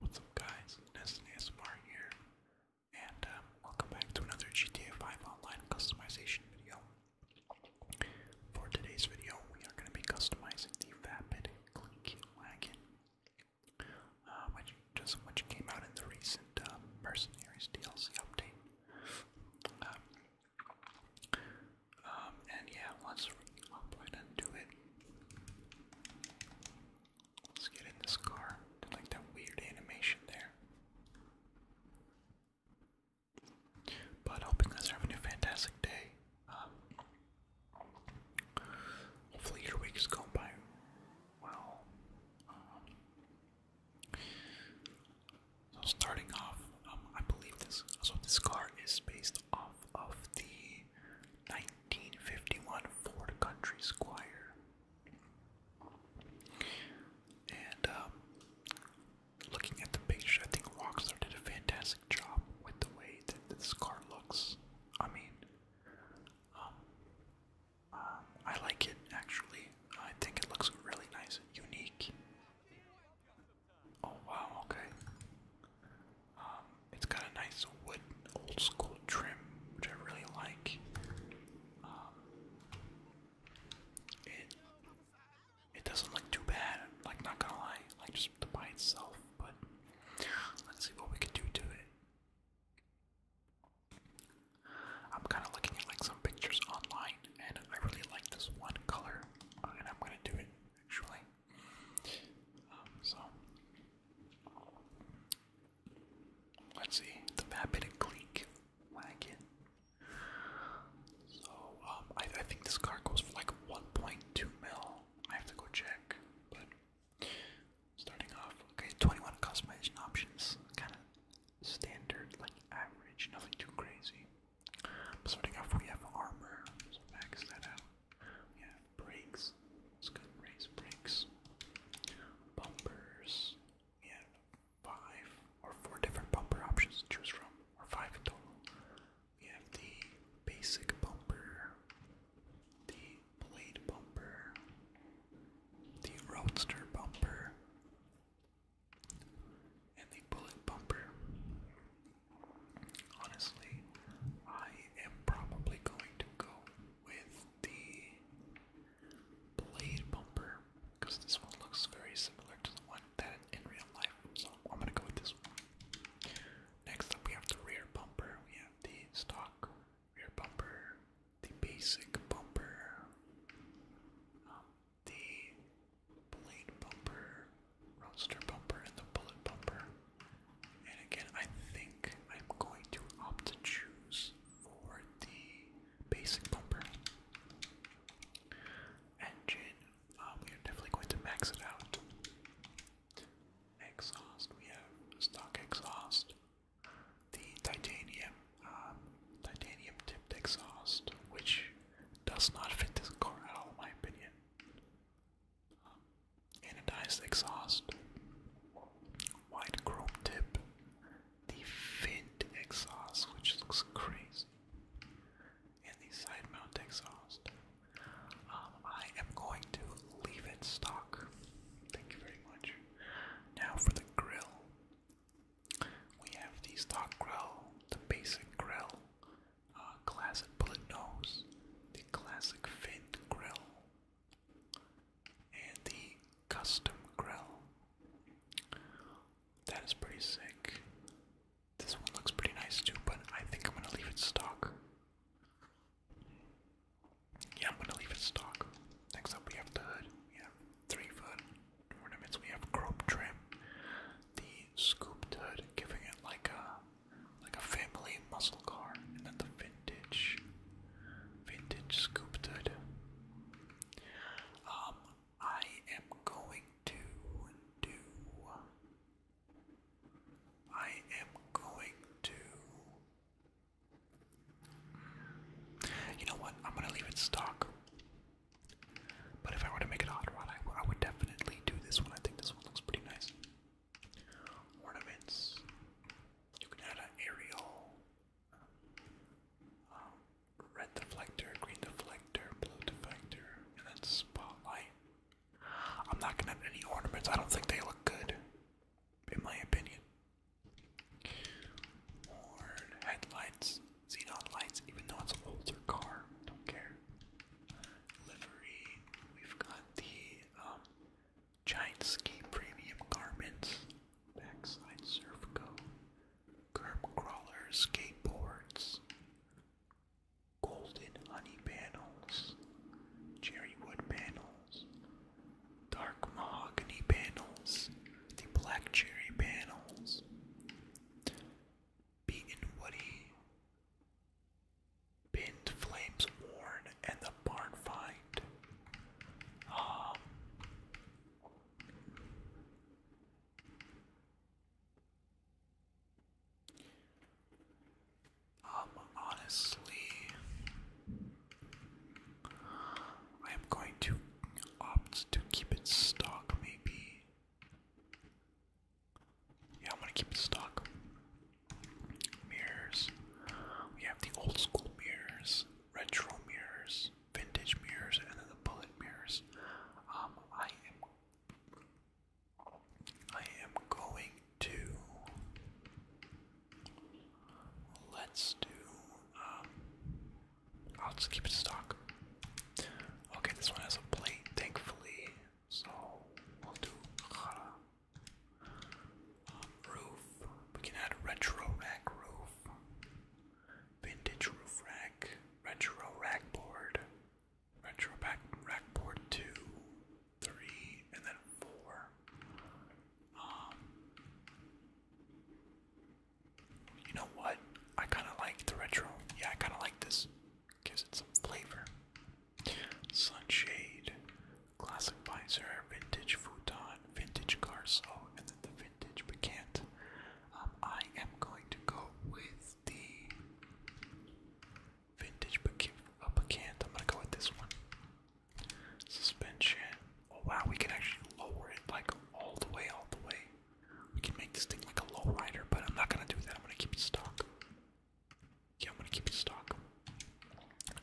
What's up guys, NestonASMR here, and um, welcome back to another GTA 5 online customization video. For today's video, we are going to be customizing the Vapid Click Wagon, uh, which, just, came out in the recent uh, Mercenaries DLC update. Um, um, and yeah, let's hop right into it. Let's get in this car. like that weird animation there. But hope you having a fantastic day. Um, hopefully your week is going by well. Um, so starting off, um, I believe this. So this car is based off of the 1951 Ford Country Squire. And um, looking at the picture, I think Rockstar did a fantastic job with the way that this car looks. I mean, um, um, I like it actually. I think it looks really nice unique. Oh wow, okay. Um, it's got a nice wood, old school trim, which I really like. Um, it it doesn't look too bad. Like not gonna lie, like just the by itself. But let's see what we can do to it. I'm kind of looking at like some pictures online, and I really like this one color, uh, and I'm gonna do it actually. Um, so, let's see. The Vapid and Cleek Wagon. So, um, I, I think this car goes for like 1.2 mil. I have to go check, but starting off, okay, 21 customization options, kind of standard, like average, nothing too crazy. Starting off, we have armor, max that out. We brakes. Let's go race brakes. Bumpers. We five or four different bumper options to choose from, or five total. We have the basic bumper, the blade bumper, the roadster bumper, and the bullet bumper. Honestly, I am probably going to go with the blade bumper because this one looks very similar to the one that in real life, so I'm gonna go with this one. Next up, we have the rear bumper, we have the stock rear bumper, the basic bumper, um, the blade bumper, roadster bumper and the bullet bumper. And again, I think I'm going to opt to choose for the basic bumper. Engine, um, we are definitely going to max it out. Exhaust, we have stock exhaust, the titanium, um, titanium tipped exhaust, which does not fit this car at all, in my opinion anodized exhaust, wide chrome tip, the vent exhaust, which looks crazy, and the side mount exhaust. Um, I am going to leave it stock. Thank you very much. Now for the grill. We have the stock grill, the basic grill, classic bullet nose, the classic fin grill, and the custom grill. That is pretty sick. This one looks pretty nice too, but I think I'm gonna leave it stock. Yeah, I'm gonna leave it stock. Next up, we have the hood. We three foot ornaments. We have grope trim, the scooped hood, giving it like a like a family muscle car, and then the vintage, vintage scooped it. Um, I am going to do. I am going to. You know what? I'm gonna leave it stock. But if I were to make it hot rod, I would definitely do this one. I think this one looks pretty nice ornaments. You can add an aerial, um, um, red deflector, green deflector, blue deflector, and then spotlight. I'm not gonna have any ornaments. I don't think they look good, in my opinion. headlights, xenon lights, even though it's an older car, don't care livery. We've got the um, Giant Ski Premium Garments, Backside Surf Coat, Curb Crawlers, Skateboards, Golden Honey Panels, Cherry Wood Panels, Dark Mahogany Panels, the Black Cherry Panels, Beaten Woody. Pinned flames worn and the barn find. Um, um honestly I am going to opt to keep it stock maybe. Yeah, I'm gonna keep it stock. Mirrors. We have the old school mirrors, retro mirrors, vintage mirrors, and then the bullet mirrors. Um, I am, I am going to. Let's do. Um, I'll just keep it stock. Okay, this one has a plate. Thankfully, so we'll do Hara. Um, roof. We can add retro rack roof. Vintage roof rack. Retro rack board. Retro back rack board two, three, and then four. Um you know what? I kinda like the retro. Yeah, I kinda like this gives it some flavor. Sunshade, classic visor, vintage futon, vintage garso, and then the vintage piquant. Um, I am going to go with the vintage uh, piquant. I'm gonna go with this one. Suspension. Oh wow, we can actually lower it like all the way, all the way. We can make this thing like a low rider, but I'm not gonna do that. I'm gonna keep it stock. Yeah, I'm gonna keep it stock.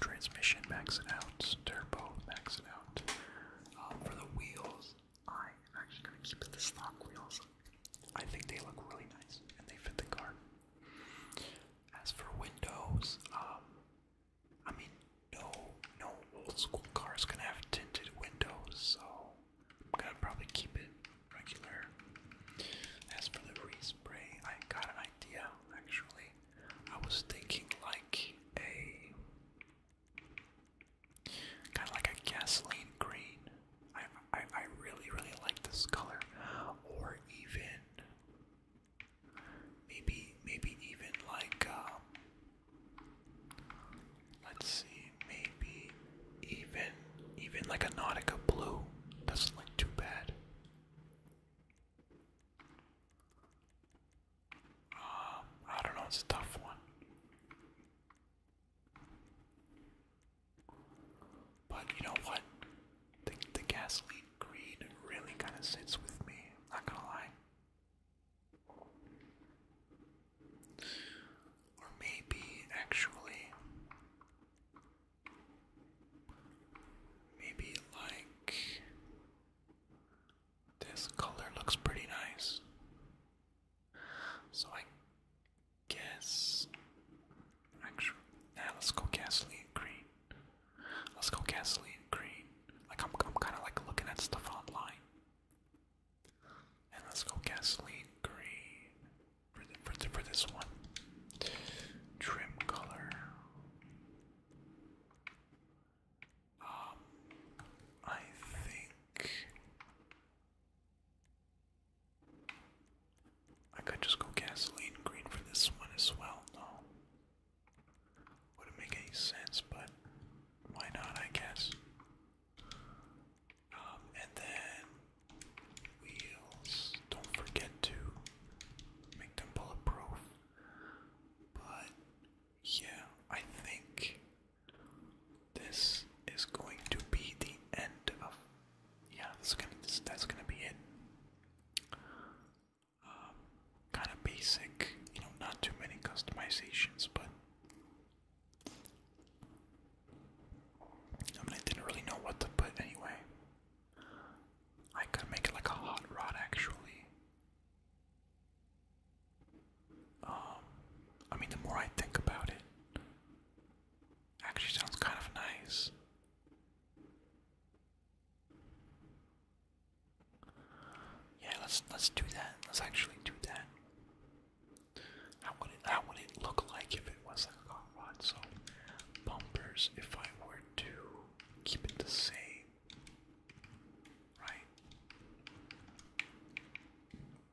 Transmission, max out. Turbo, max out. Um, for the wheels, I am actually gonna keep the stock wheels. I think they look really nice and they fit the car. As for windows, um, I mean, no, no old school car's gonna have tinted windows, so I'm gonna probably keep it regular. As for the respray, I got an idea actually. I was thinking like a kind of like a gasoline green. I, I I really really like this color, or even maybe maybe even like um, Let's see, maybe even even like a Nautica blue doesn't look too bad. Um, I don't know, it's a tough one. But you know what? The the gasoline green really kinda sits with me, not gonna lie. Or maybe actually, maybe like this color looks pretty nice. So I guess, actually, nah, let's go gasoline green. Let's go gasoline green. Like I'm, I'm kind of like looking at stuff online. And let's go gasoline green for, for, for this one. Trim color. Um, I think I could just go gasoline green for this one as well. No, wouldn't make any sense, but why not? I guess. Um, and then wheels. Don't forget to make them bulletproof. But yeah, I think this is going to be the end of. Yeah, that's gonna this, that's gonna be it. Um, kind of basic, you know, not too many customizations, but I mean, I didn't really know what to put anyway. I could make it like a hot rod, actually. Um, I mean, the more I think about it, actually sounds kind of nice. Yeah, let's let's do that. Let's actually do that. That would it how would it look like if it was not a car. rod? So bumpers, if I were to keep it the same, right?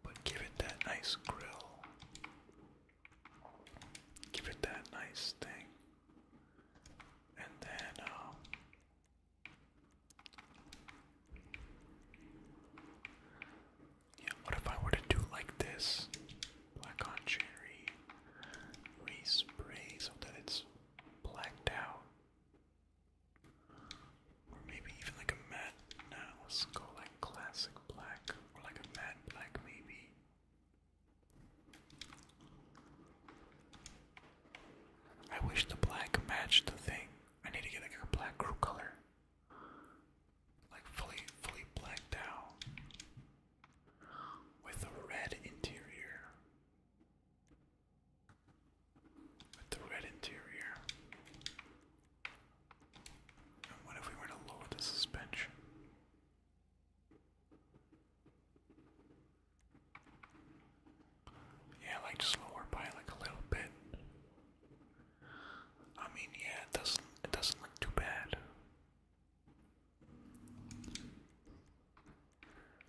But give it that nice grill. Give it that nice thing. And then um, yeah, what if I were to do like this? Black on cherry, respray so that it's blacked out. Or maybe even like a matte. Now let's go like classic black, or like a matte black maybe. I wish the black matched the thing. I need to get like a black crew color like fully, fully blacked out with a red interior. With the red interior. And what if we were to lower the suspension? Yeah, like just by like a little bit. I mean, yeah, it doesn't it doesn't look too bad.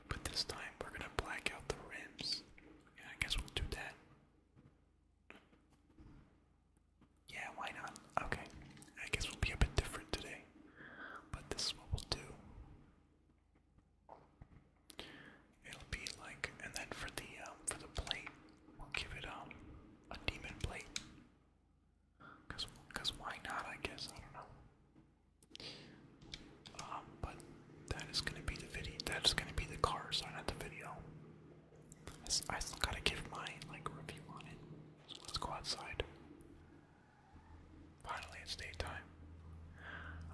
But this time we're gonna black out the rims. I guess we'll do that. Yeah, why not? Okay, I guess we'll be a bit different today. But this is what we'll do. It'll be like, and then for the um, for the plate, we'll give it um a demon plate. Cause, cause why not? I guess I don't know. Um, but that is gonna be the video. That is gonna be the car, so not the video. I, I still gotta give my like review on it. So let's go outside. Finally, it's daytime.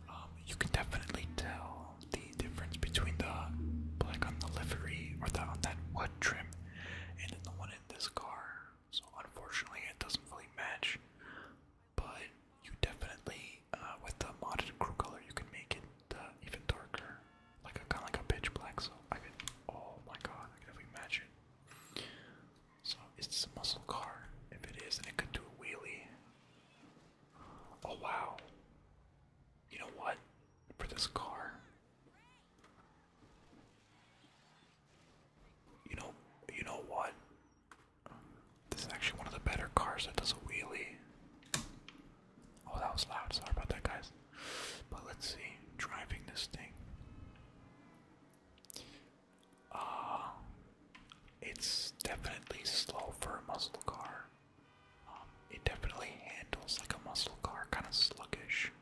Um, you can definitely tell the difference between the black on the livery or the on that what trim and then the one in this car. So unfortunately, it doesn't really match. But you definitely, uh, with the modded crew color, you can make it uh, even darker, like a kind of like a pitch black. So I could, oh my god, I could definitely match it. So it's a muscle car. If it is, and it could do a wheelie. Oh wow. You know what? For this car. You know you know what? This is actually one of the better cars that does a wheelie. Oh that was loud, sorry about that guys. But let's see, driving this thing. Uh it's definitely slow for a muscle car. Um, it definitely handles like a muscle car, kind of sluggish.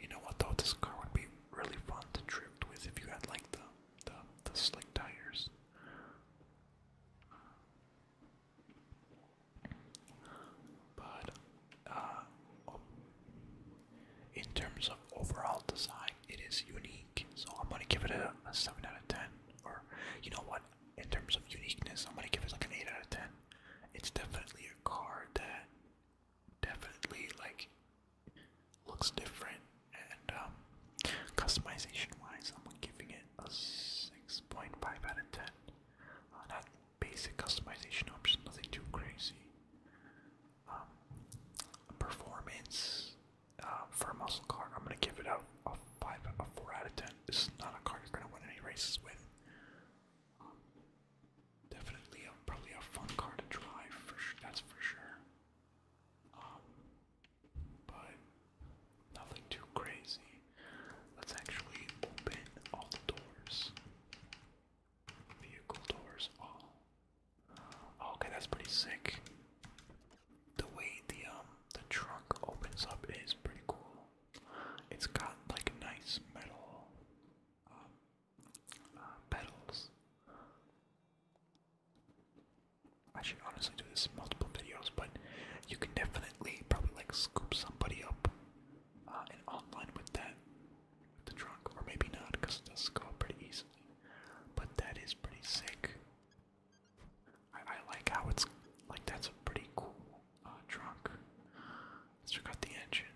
You know what though, this car would be really fun to drift with if you had like the the, slick tires. But uh, oh, in terms of overall design, it is unique. So I'm gonna give it a, seven out of ten. Or you know what? In terms of uniqueness, I'm gonna give it like an eight out of ten. It's definitely a card that definitely like looks different and um, customization wise I'm giving it a six point five out of ten. Uh, not basic customization options, nothing too crazy. Um, performance um, for a muscle car. I'm gonna give it a, five, a four out of ten. This is not a car you're gonna win any races with. definitely, a, probably a fun car to drive. For that's for sure. Um, but nothing too crazy. Let's actually open all the doors. Vehicle doors all. Okay, that's pretty sick. The way the um the trunk opens up is pretty cool. It's got like nice metal um, uh, I should honestly do this in multiple videos, but you can definitely probably like scoop somebody up uh, and online with that, the trunk, or maybe not, because it will go up pretty easily. But that is pretty sick. I, like how it's like that's a pretty cool uh, trunk. Let's check out the engine.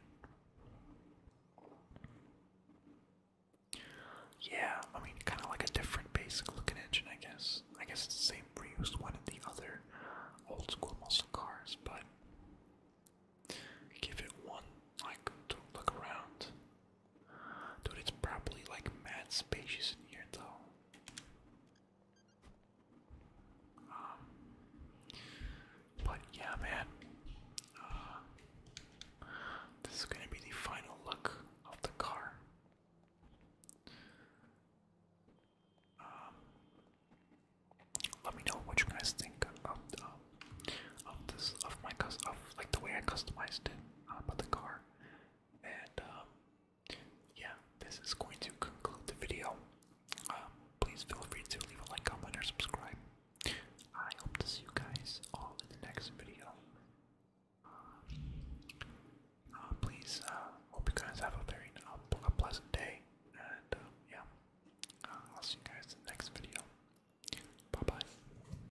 Yeah, I mean, kind of like a different basic-looking engine, I guess. I guess it's the same reused one in the other old-school muscle cars, but give it one like to look around. Dude, it's probably like mad spacious in here though. Um, but yeah, man. Uh, this is gonna be the final look of the car. Um, let me know what you guys think of, um, of this, of my cus, of like the way I customized it, uh, about the car. And um, yeah, this is going to conclude the video. Um, please feel free to leave a like, comment, or subscribe. I hope to see you guys all in the next video. Um, uh, please, uh, hope you guys have a very uh, a pleasant day. And yeah, I'll see you guys in the next video. Bye bye.